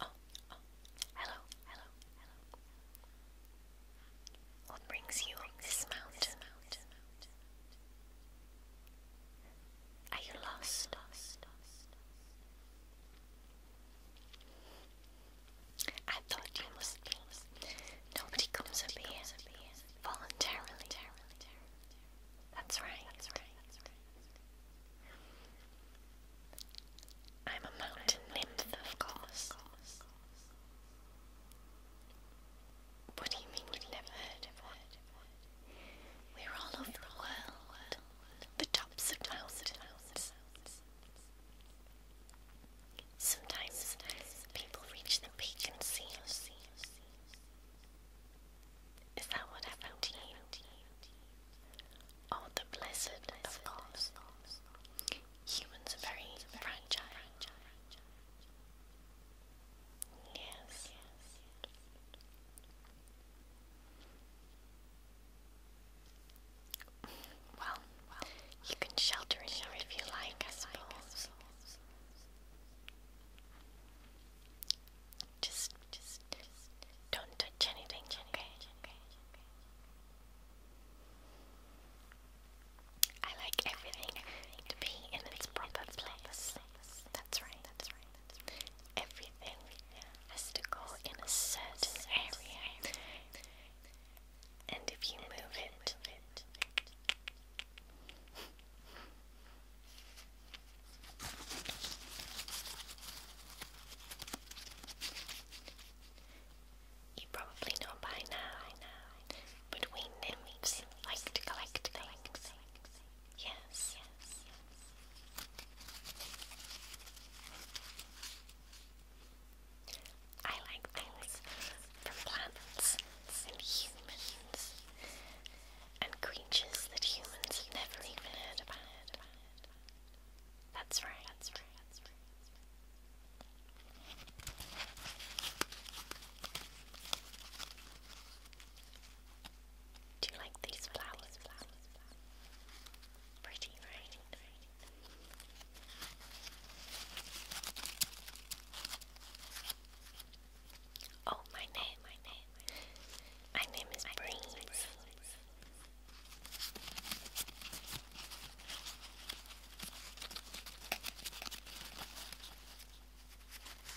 Oh, hello, What brings you up this mountain? Are you lost? I thought you must Nobody comes up here voluntarily. That's right. I'm a mountain nymph, of course. What do you mean you never heard of one? We're all over the world, the tops of mountains. Sometimes people reach the peak and see Is that what happened Oh, the blessed, Humans are very fragile. Yes. Well, well, you can shelter here if you like, I suppose. Just, just, just don't touch anything, okay? I like everything to be in its proper place. That's right. That's right. Everything has to go in a certain area, and if you move it, you probably know by now, but we nymphs like to collect Yes. I like things from plants and humans and creatures that humans have never even heard about. That's right. Do you like these flowers? Pretty, right? Oh, my name, my name, my name is Breeze.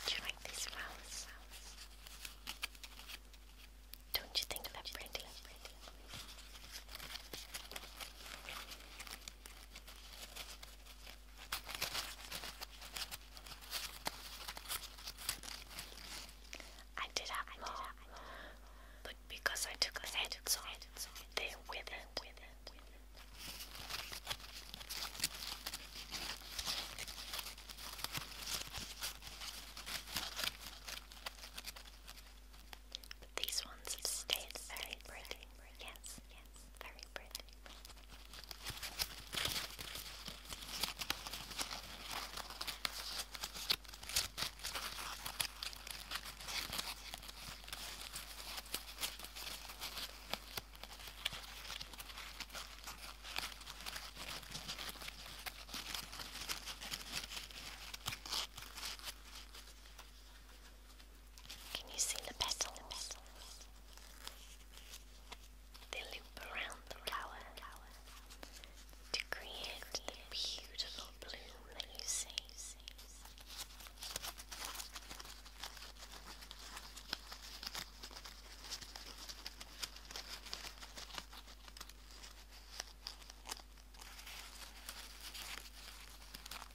Do you like these flower Don't you think they're pretty? I did have more, but because I took the heads off, they withered. But these ones have very pretty. Yes, yes, very pretty. Can you see the petals? They loop around the flower to create the beautiful bloom that you see.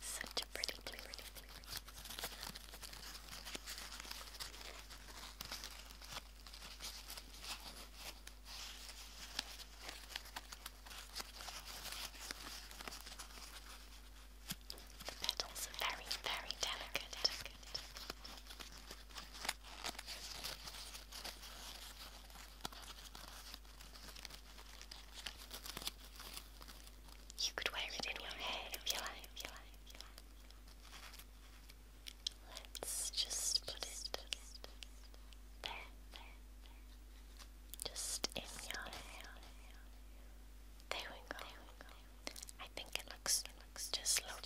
Such a pretty, pretty, pretty, pretty. The petals are very, very delicate. delicate. You could wear it in your hair if you like. Let's just put it there, just in your hair. There we go. I think it looks, just lovely.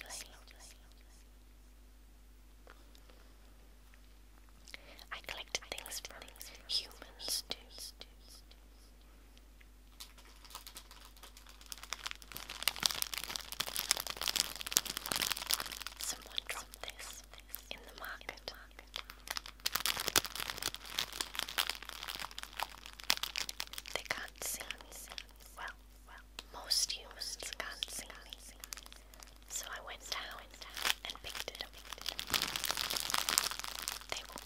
I collected things humans too. Someone dropped this in the market. They can't see. well, most used sconce. So I went down and picked it They won't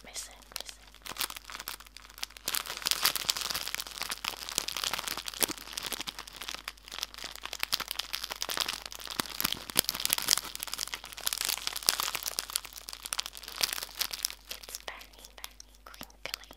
It's very,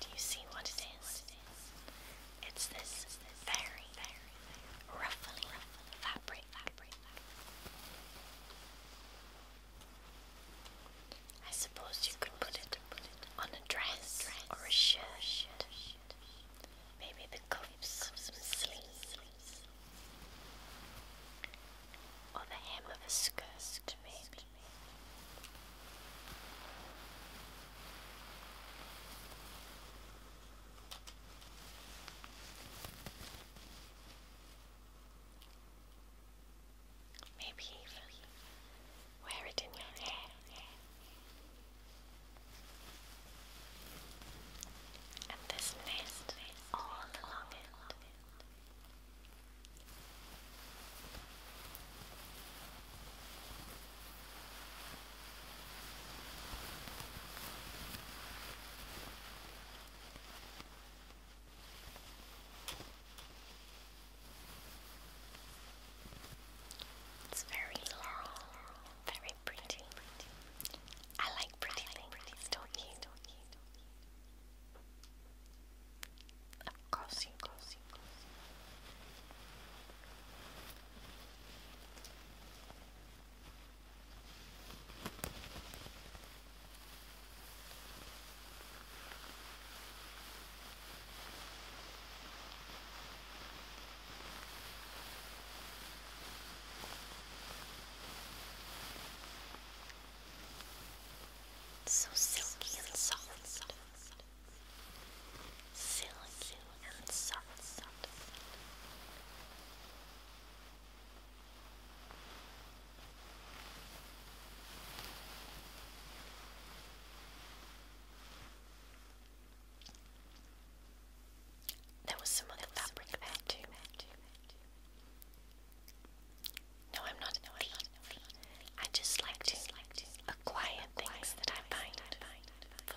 Do you see what it is? It's this very, very ruffling fabric. I suppose you could put it, on a dress, or a shirt. Maybe the cuffs, some sleeves, or the hem of a skirt, maybe. Maybe even wear it in your hair. And this nest all along it. It's very long, very pretty. I like pretty things, don't you? Of course you it's so silky and soft, silky and soft. There was some other fabric there too. No, I'm not. i just like to acquire things that I find for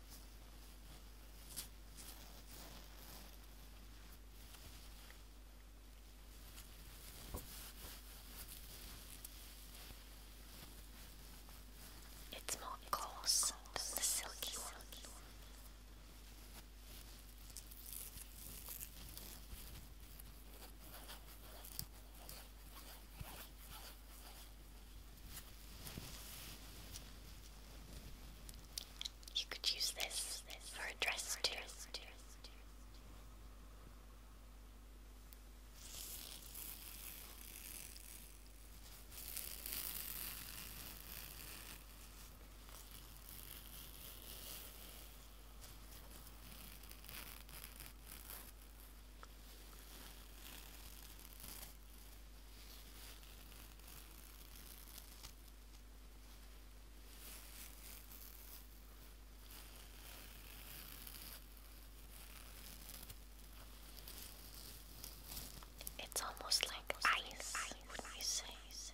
It's more coarse than the silky one. You could use this, for a dress for too. Dress too. It's almost like ice, ice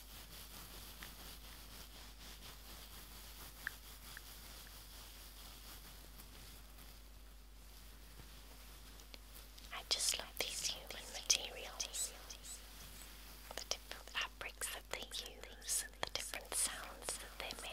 I just love these human materials, the different fabrics that they use, the different sounds that they make.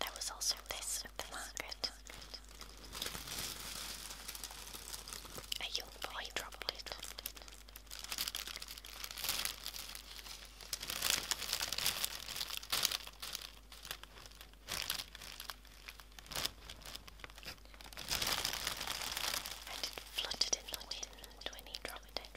There was also this of the market. A young boy dropped And it fluttered in the wind when he dropped it.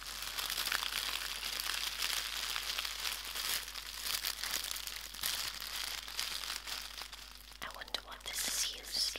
I wonder what this is used for.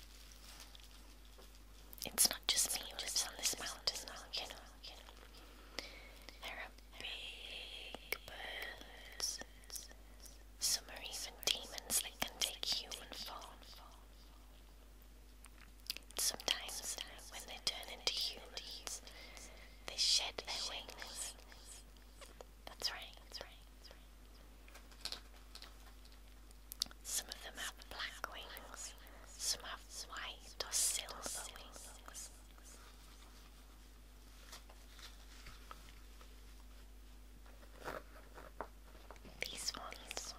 It's not just me not just on this mountain, now, you know. You know. There are big birds. Some are even demons that can take human form. Sometimes, when they turn into humans, they shed their wings, that's right, that's right, that's right. Some of them have black wings, some have white or silver wings. These ones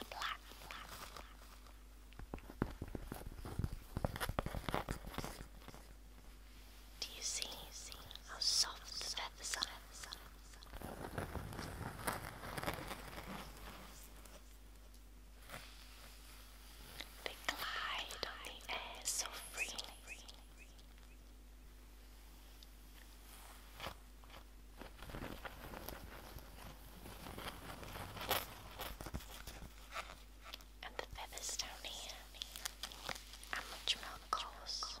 are black, black, black. Do you see how soft the feathers are? They glide on the air so freely. And the feathers down here are much more coarse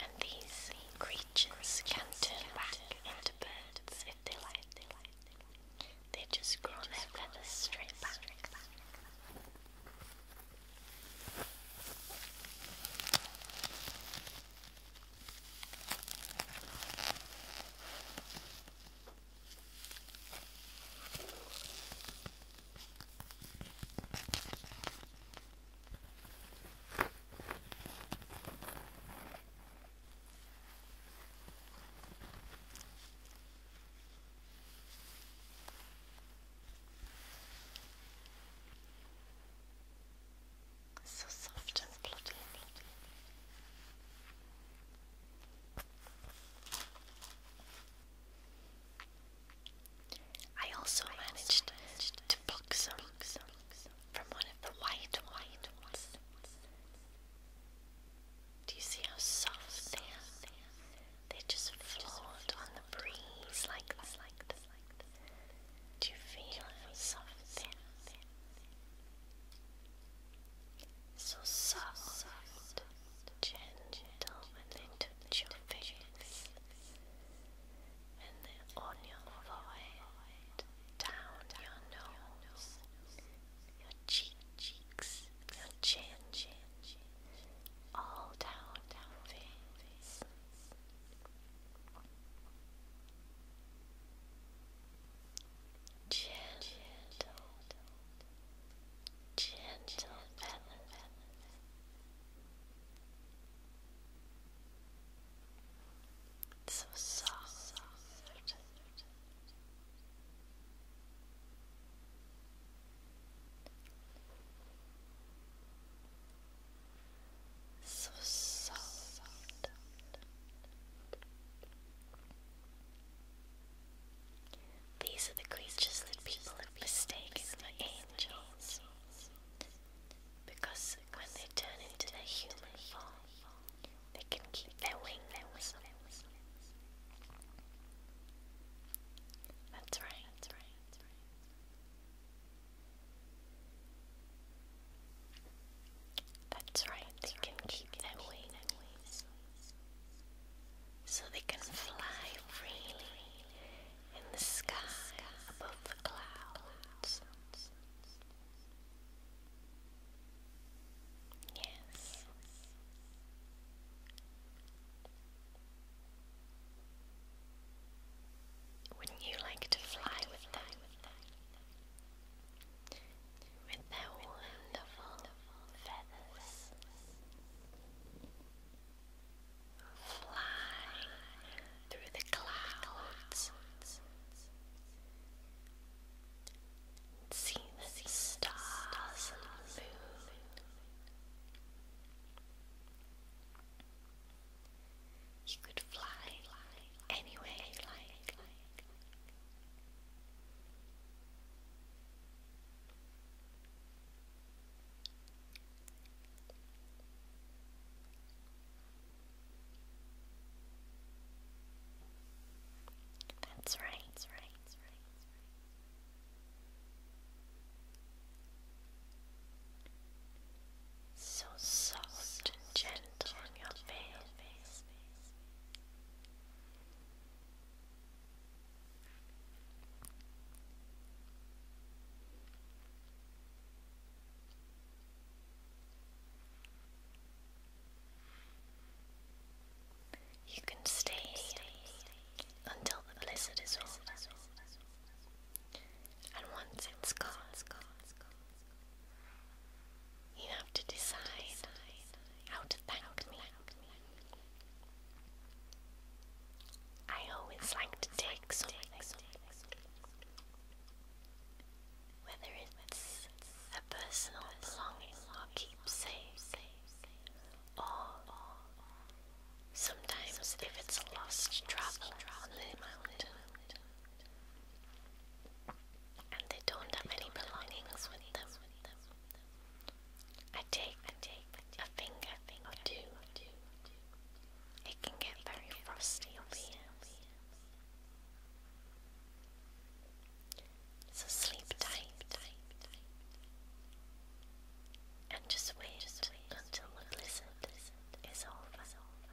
And these creatures can turn back into birds if they like. They just grow their feathers straight back. So soft and bloody, bloody. I also managed to pluck some from one of the white ones. Do you see how soft they are? They just float on the breeze like this. Do you feel how soft they are? So soft gentle when they touch your face and then on your forehead, down your nose, your cheeks, your chin, all down your face. Gentle, gentle balance. So soft. So soft. These are the creatures that people have mistaken for angels. Because when they turn into their human form, they can keep their wings. That's right. That's right. That's right. They can keep their wings so they can fly freely in the sky above the clouds. Yes. Wouldn't you like to fly with them? With their wonderful feathers flying through the clouds. See stars and the You could fly any way that's right, So soft, and gentle, gentle on your face. You can stay until the blizzard is over, and once it's gone, you have to decide how to thank I always like to take whether it's a personal belonging or keepsake, or sometimes if it's a lost traveler and they don't have any belongings with them, I take, I take, I take a finger, finger Do, two. do. two. It can get very frosty over here. So sleep tight, and just wait, until the blizzard Is over.